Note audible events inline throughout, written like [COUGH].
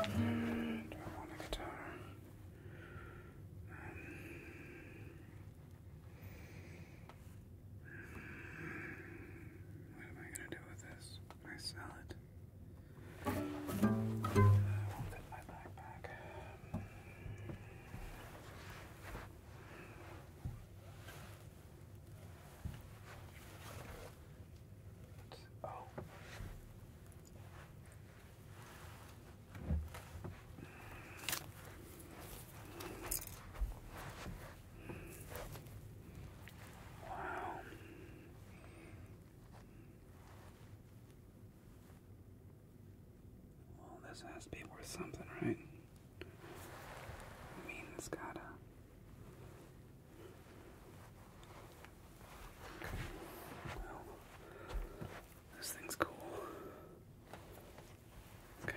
Okay. Wow. Guitar. And I want a guitar. What am I gonna do with this? My salad. I won't fit my backpack. Oh, Wow. Well, this has to be worth something, right? I mean, it's gotta. This thing's cool. Okay.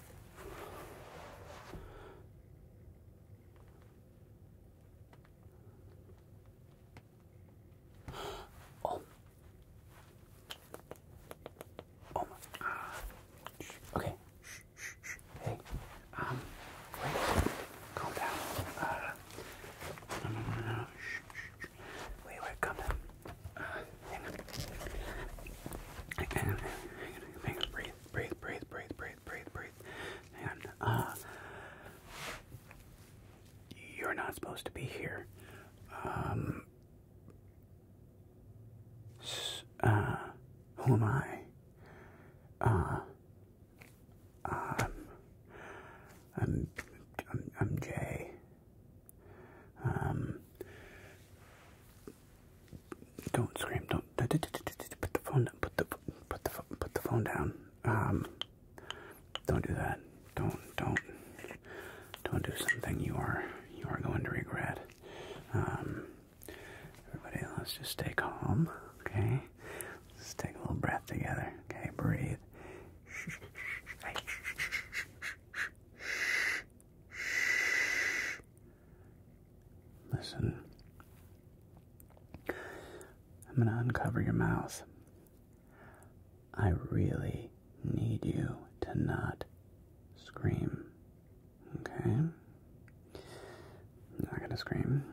Oh. Oh my ah. Okay. Shh, shh, shh. Hey. Um. Wait. Calm down. Uh. No, no, no, no. Shh, shh, shh. Wait, wait. Calm down hang on. Hang on. Hang on. Breathe. Breathe. Breathe. Breathe. Breathe. Breathe. Breathe. Hang on. you're not supposed to be here. Um, uh, who am I? Uh, um, I'm, I'm Jay don't scream! Don't put the phone. Put the put the put the phone down. don't do that. Don't don't don't do something you are you are going to regret. everybody, let's just stay calm. Okay, let's take a little breath together. Okay, breathe. Shh. Listen. I'm going to uncover your mouth. I really need you to not scream. Okay? not going to scream.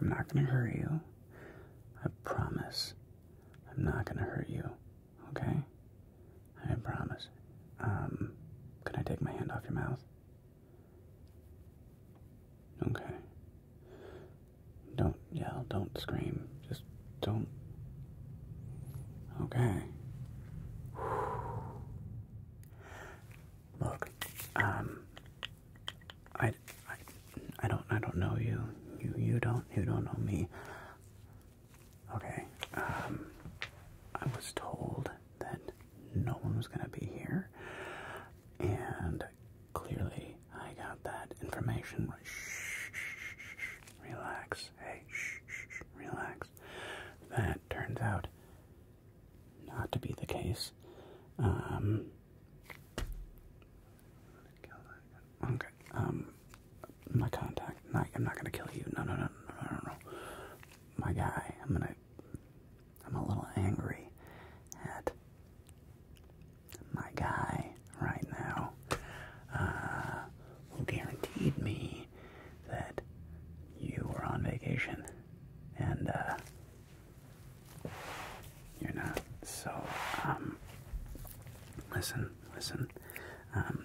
I'm not going to hurt you. I promise. I'm not going to hurt you. Okay? I promise. Um, can I take my hand off your mouth? Okay. Don't yell, don't scream, just don't. Okay. Look, um, I, I, I don't, I don't know you. You, you don't, you don't know me. Okay. Um, I was told that no one was going to be here, and clearly I got that information. Shh, shh, shh, relax. Hey, shh, shh, relax. That turns out not to be the case. Um, okay. Um, my contact. Not, I'm not gonna kill you. No, no, no, no, no, no, no. My guy, I'm gonna. I'm a little angry at my guy right now, uh, who guaranteed me that you were on vacation, and uh, you're not. So, um, listen, listen. Um,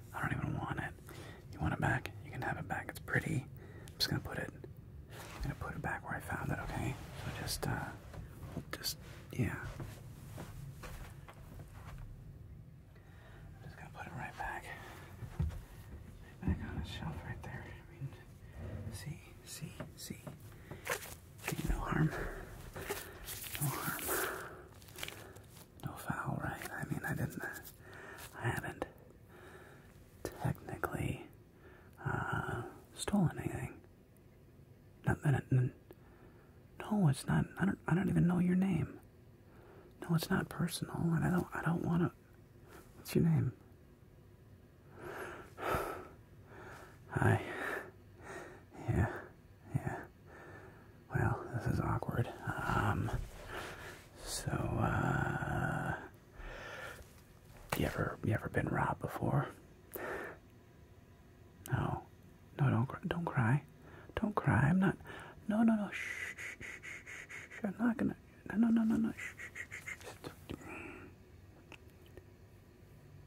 I don't even want it. You want it back? You can have it back. It's pretty. I'm just gonna put it. I'm gonna put it back where I found it. Okay. So just, uh, just yeah. I'm just gonna put it right back, right back on the shelf right there. I mean, see, see. See, no harm. No harm no foul, right? I mean, I didn't, uh, I haven't technically uh, stolen anything. no, it's not. I don't. I don't even know your name. No, it's not personal, and I don't. I don't want to. What's your name? Hi. [SIGHS] Yeah. Yeah. Well, this is awkward. Um, so, uh, you ever you ever been robbed before? No, no, don't don't cry, don't cry. I'm not. No, no, no. Shh, shh, shh, shh, shh. I'm not gonna. No, no, no, no, no. Shh, shh, shh, shh.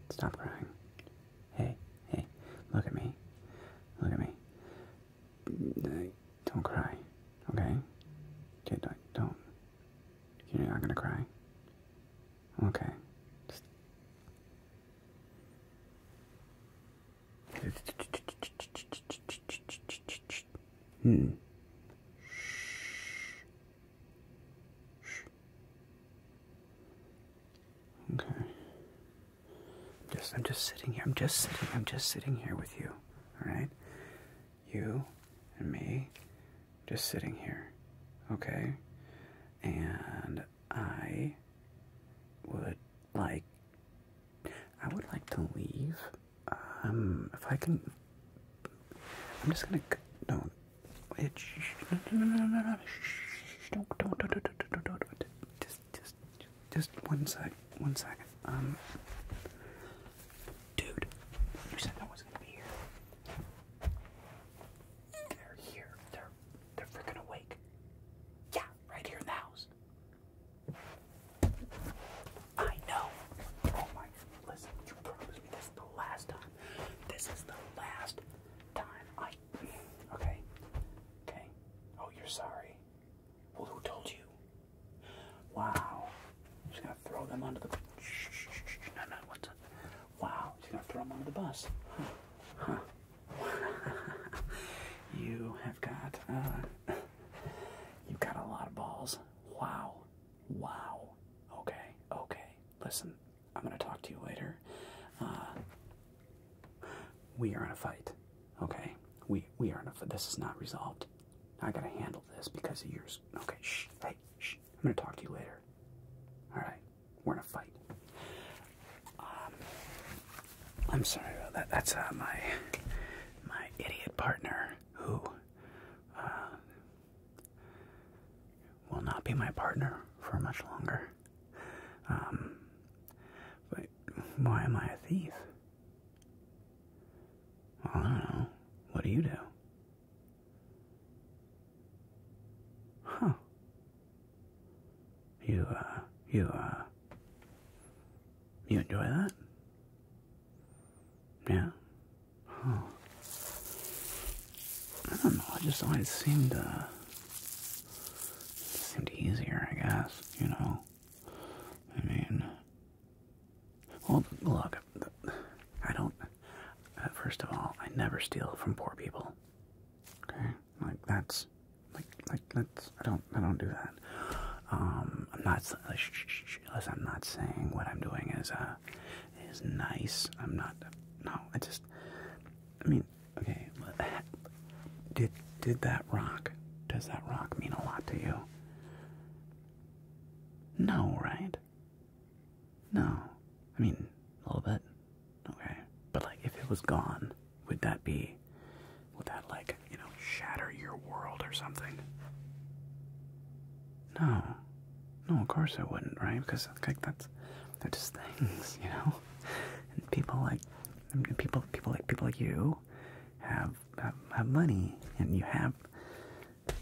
Stop crying. Hey, hey. Look at me. Look at me. Don't cry, okay? Okay, don't. You're not gonna cry. Okay. Just... Hmm. Okay. Just I'm just sitting here. I'm just sitting. I'm just sitting here with you. All right? You and me just sitting here. Okay? And I would like I would like to leave. Um if I can I'm just going to no. It, no, no, no, no, no, no, don't, don't, don't, don't, don't, don't, don't, just just, just one sec, one second. Um, dude, you said no one's gonna be here. They're here. They're, they're freaking awake. Yeah, right here in the house. I know. Oh my, listen, you promised me this is the last time. This is the last time I. Okay. Okay. Oh, you're sorry. Well, who told you? Wow. I'm just gonna throw them under the. Shh, No, no, what's Wow. She's gonna throw them under the bus. Huh. huh. [LAUGHS] you have got. Uh, you've got a lot of balls. Wow. Wow. Okay. Okay. Listen, I'm gonna talk to you later. Uh, we are in a fight, okay? We we are in a fight. this is not resolved. I gotta handle this because of yours. Okay, shh, hey, shh. I'm gonna talk to you later. All right, we're in a fight. Um, I'm sorry about that. That's uh, my my idiot partner who uh, will not be my partner for much longer. Um, but why am I a thief? I don't know. What do you do? Huh. You, uh, you, uh, you enjoy that? Yeah? Huh. I don't know, I just always seemed, uh, seemed easier, I guess, you know? I mean, well, look, I don't. Uh, first of all, I never steal from poor people. Okay, like that's, like, like that's. I don't. I don't do that. Um, I'm not. Uh, I'm not saying what I'm doing is uh is nice. I'm not. No, I just. I mean, Okay, did did that rock? Does that rock mean a lot to you? No, right? No, I mean a little bit. Okay, but like if it was gone, would that be? Would that like you know shatter your world or something? No, no, of course it wouldn't, right? Because like that's they're just [LAUGHS] things, you know. And people like people, people like people like you have, have have money and you have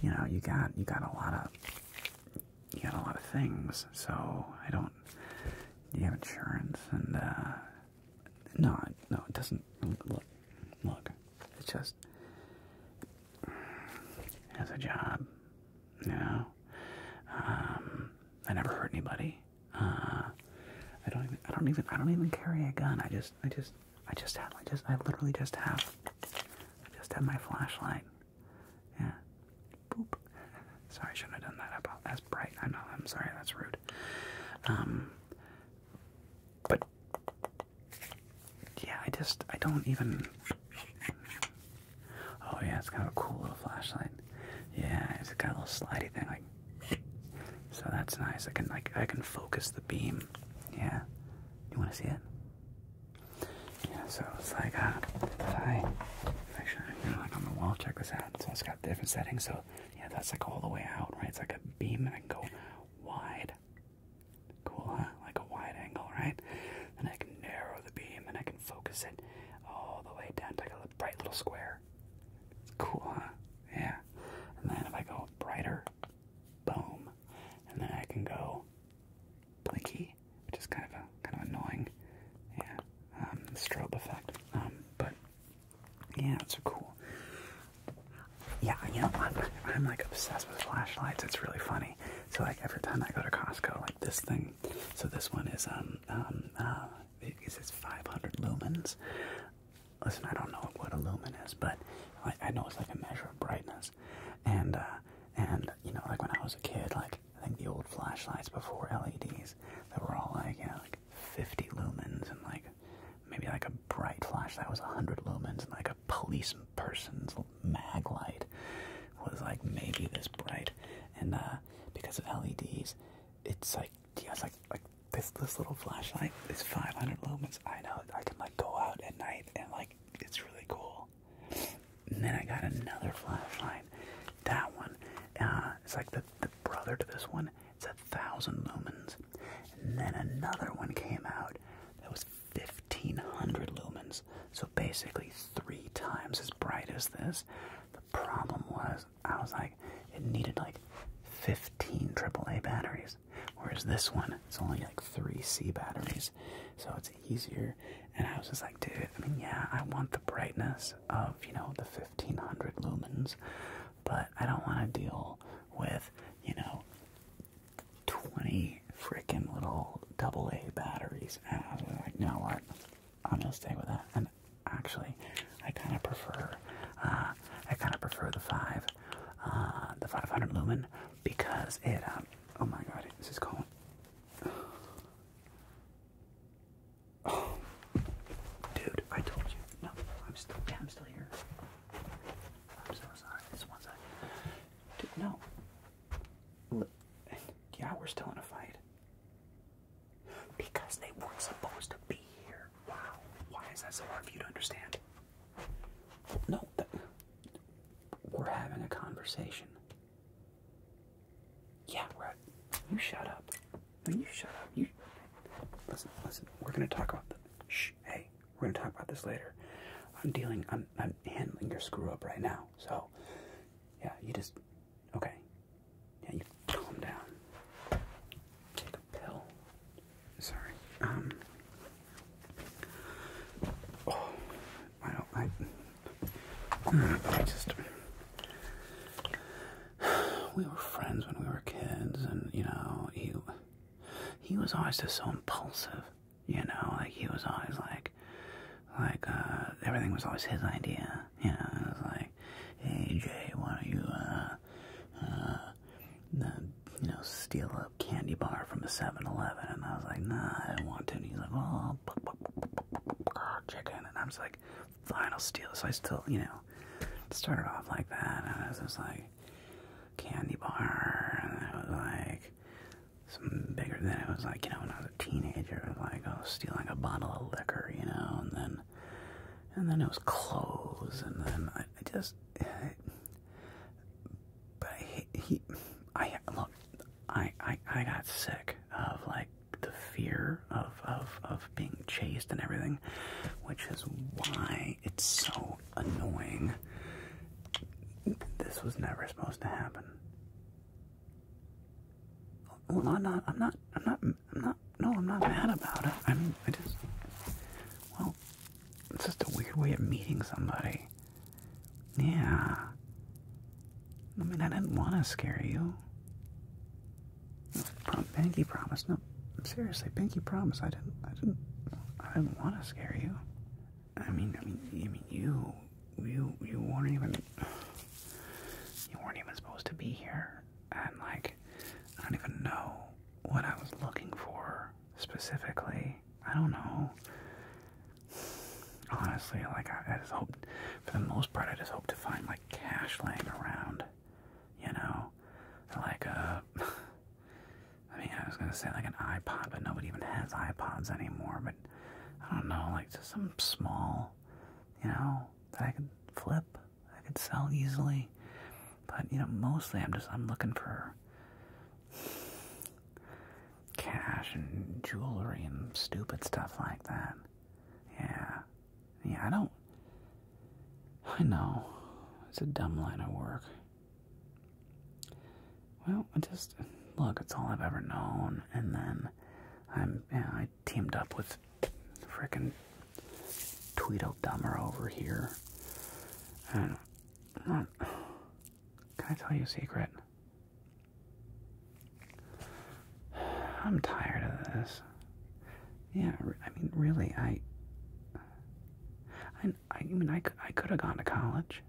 you know you got you got a lot of you got a lot of things so I don't you have insurance and uh no no it doesn't look look it's just has a job you know um I never hurt anybody uh, I don't even. I don't even. I don't even carry a gun. I just. I just. I just have. I just. I literally just have. I just have my flashlight. Yeah. Boop. Sorry, I shouldn't have done that. About that's bright. I know. I'm sorry. That's rude. Um. But yeah, I just. I don't even. Oh yeah, it's kind of a cool little flashlight. Yeah, it's got a little slidey thing like so that's nice. I can like I can focus the beam. Yeah. You wanna see it? Yeah, so it's like a, uh, if I actually you like on the wall, check this out. So it's got different settings, so yeah, that's like all the way out, right? It's like a beam and I can go wide. Cool, huh? Like a wide angle, right? Then I can narrow the beam and I can focus it all the way down to like a bright little square. It's cool, huh? Yeah. And then if I go brighter, boom. And then I can go blinky, which is kind of kind of annoying. Yeah. Um, strobe effect. Um, but yeah, it's cool. Yeah, you know, I'm, I'm like obsessed with flashlights. It's really funny. So like every time I go to Costco, like this thing. So this one is um um uh, it's 500 lumens listen, I don't know what a lumen is, but I, I know it's like a measure of brightness. And, uh, and you know, like when I was a kid, like I think the old flashlights before LEDs, they were all like, you know, like 50 lumens and like maybe like a bright flashlight was 100 lumens and like a police person's mag light was like maybe this bright. And uh, because of LEDs, it's like he has like like this this little flashlight. It's 500 lumens. I know I can like go out at night and like it's really cool. And then I got another flashlight. That one, uh, it's like the the brother to this one. It's a thousand lumens. And then another one came out that was 1500 lumens. So basically three times as bright as this problem was, I was like, it needed like 15 AAA batteries, whereas this one, it's only like 3 C batteries, so it's easier. And I was just like, dude, I mean, yeah, I want the brightness of, you know, the 1500 lumens, but I don't want to deal with, you know, 20 freaking little AA batteries. And like, you what? I'm gonna stay with that actually. I kind of prefer, uh, I kind of prefer the five, uh, the 500 lumen because it, um, oh my god, this is going. [SIGHS] Oh, dude, I told you. No, I'm still, yeah, I'm still here. I'm so sorry. This one's. side. Dude, no. Yeah, we're still in a fight. Because they weren't supposed to be here. Wow. Why is that so hard for you to understand? No, that, we're having a conversation. Yeah, right. You shut up. No, you shut up. You listen. Listen. We're gonna talk about the. Shh. Hey, we're gonna talk about this later. I'm dealing. I'm. I'm handling your screw up right now. So, yeah. You just. Okay. Yeah, you calm down. Take a pill. Sorry. Um. Oh, I don't. I. I just. We were friends when we were kids, and you know he. He was always just so impulsive, you know. Like he was always like, like uh, everything was always his idea, you know. It was like, hey Jay, why don't you uh, uh, uh, you know, steal a candy bar from a 7-Eleven, and I was like, nah, I don't want to, and he's like, oh, chicken, and I'm just like, fine, I'll steal it, so I still, you know, started off like that, and I was just like, candy bar, and it was like, some bigger than it was like, you know, when I was a teenager, it was like, oh, stealing a bottle of liquor, you know, and then and then it was clothes, and then I, just. [SIGHS] but I, he, I look, I, I, I got sick of like the fear of of of being chased and everything, which is why it's so annoying. This was never supposed to happen. Well, I'm not, I'm not, I'm not I'm, not. No, I'm not mad about it. I'm. I just. Well, it's just a weird way of meeting somebody. Yeah. I mean, I didn't want to scare you. Prom Pinky promised. No, seriously, Pinky promise. I didn't. I didn't. I didn't want to scare you. I mean, I mean, I mean, you, you, you weren't even. You weren't even supposed to be here, and like, I don't even know what I was looking for specifically. I don't know. Honestly, like I, just hope, for the most part, I just hope to find like cash laying around. You know, like uh, a. [LAUGHS] I mean, I was gonna say like an iPod, but nobody even has iPods anymore. But I don't know, like just some small, you know, that I could flip. I could sell easily, but you know, mostly I'm just I'm looking for cash and jewelry and stupid stuff like that. Yeah, yeah, I don't. I know it's a dumb line of work. Well, I just look, it's all I've ever known, and then I'm, yeah. I teamed up with Frickin' Tweedledummer over here. And not, can I tell you a secret? I'm tired of this. Yeah, I mean, really, I. I, I mean, I, could, I could have gone to college.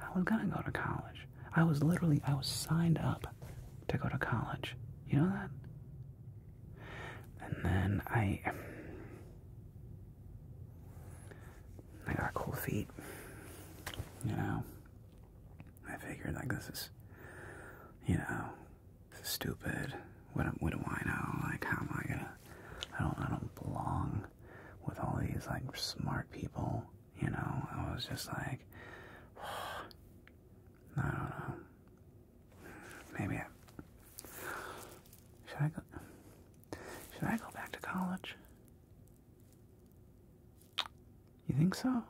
I was gonna go to college. I was literally, I was signed up to go to college. You know that? And then I. I got cool feet. You know? I figured, like, this is. You know, stupid. What, what do I know? Like, how am I gonna. I don't, I don't belong with all these, like, smart people. You know? I was just like. [SIGHS] I don't know. Maybe I should I go should I go back to college? You think so?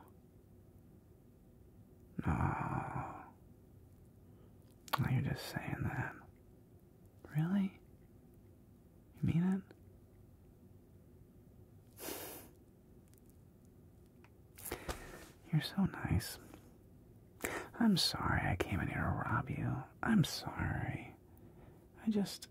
No. you're just saying that. Really? You mean it? You're so nice. I'm sorry I came in here to rob you. I'm sorry. I just.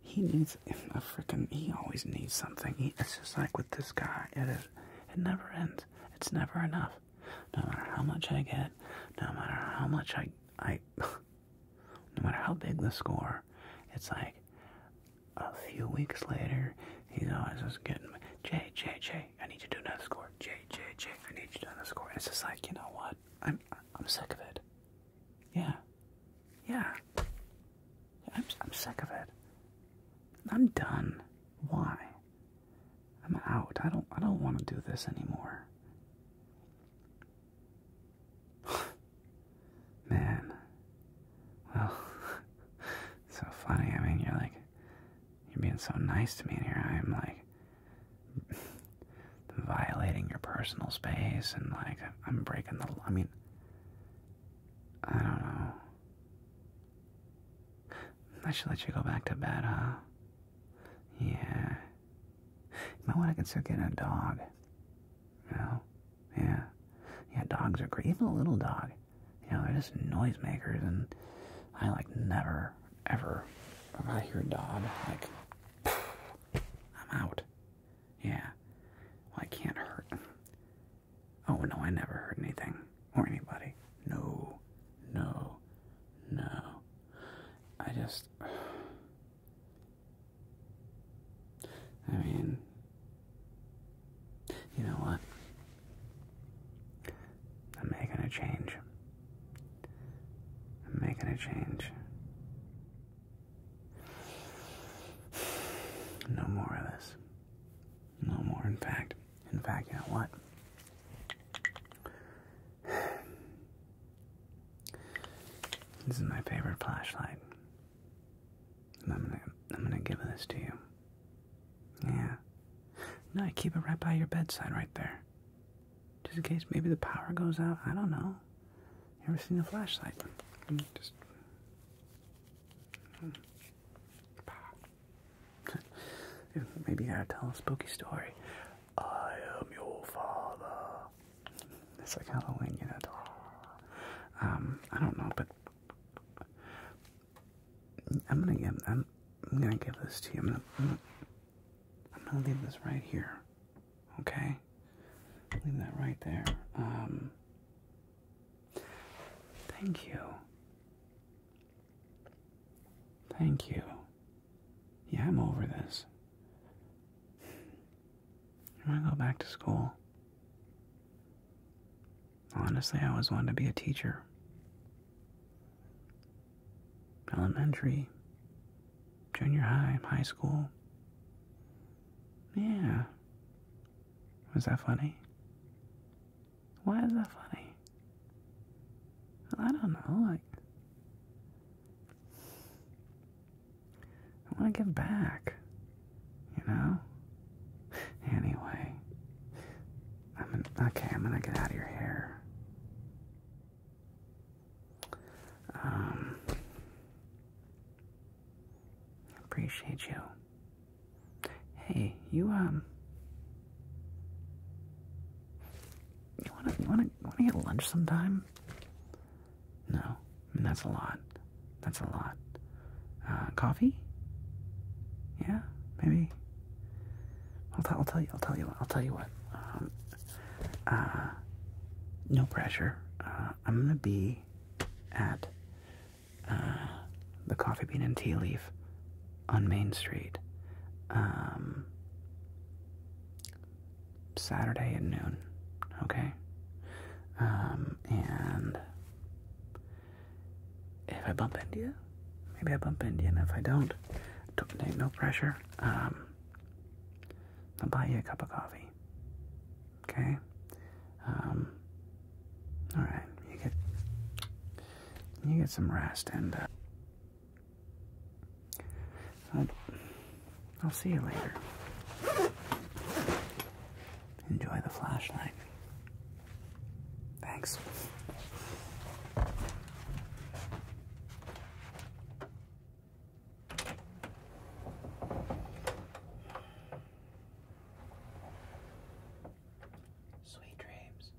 He needs [LAUGHS] a freaking. He always needs something. it's just like with this guy. It is. It never ends. It's never enough. No matter how much I get, no matter how much I, I, [LAUGHS] no matter how big the score, it's like a few weeks later, he's always just getting me. Jay, Jay, Jay, I need you to do another score. J, J, J, I need you to do another score. And it's just like, you know what? I'm I'm sick of it. Yeah. Yeah. I'm I'm sick of it. I'm done. Why? I'm out. I don't I don't want to do this anymore. [SIGHS] Man. Well, [LAUGHS] so funny. I mean, you're like you're being so nice to me, and here I am, like, [LAUGHS] violating your personal space, and, like, I'm breaking the. I mean, I don't know. I should let you go back to bed, huh? Yeah. You might want to consider getting a dog. You Yeah. Yeah, dogs are great. Even a little dog. You know, they're just noisemakers, and I like never, ever, I hear a dog, like, [SIGHS] I'm out. Yeah. I can't hurt. Oh, no, I never hurt anything or anybody. No, no, no. I just. [SIGHS] I mean, you know what? I'm making a change. I'm making a change. No more of this. No more, in fact. In fact, you what? This is my favorite flashlight. And I'm gonna I'm gonna give this to you. Yeah. No, I keep it right by your bedside right there. Just in case maybe the power goes out. I don't know. You ever seen a flashlight? Mm, just. [LAUGHS] Maybe I got tell a spooky story. I am your father. It's like Halloween, you know. Um, I don't know, but I'm gonna give I'm, gonna give this to you. I'm gonna, I'm gonna leave this right here. Okay? Leave that right there. Um Thank you. Thank you. Yeah, I'm over this. I want to go back to school. Honestly, I always wanted to be a teacher. Elementary, junior high, high school. Yeah. Was that funny? Why is that funny? I don't know. Like, I want to give back, you know? [LAUGHS] Anyway, I'm an, okay, I'm gonna get out of your hair. Um, appreciate you. Hey, you um, you wanna you wanna wanna get lunch sometime? No, I mean that's a lot. That's a lot. Uh, coffee? Yeah, maybe. I'll, t- I'll tell you. I'll tell you. What, I'll tell you what. no pressure. Uh, I'm gonna be at uh, the Coffee Bean and Tea Leaf on Main Street um, Saturday at noon. Okay. Um, and if I bump into you, maybe I bump into you, and if I don't, don't no pressure. Um, I'll buy you a cup of coffee. Okay. Um, all right. You get you get some rest, and uh, I'll, I'll see you later. Enjoy the flashlight. Thanks. Sweet dreams.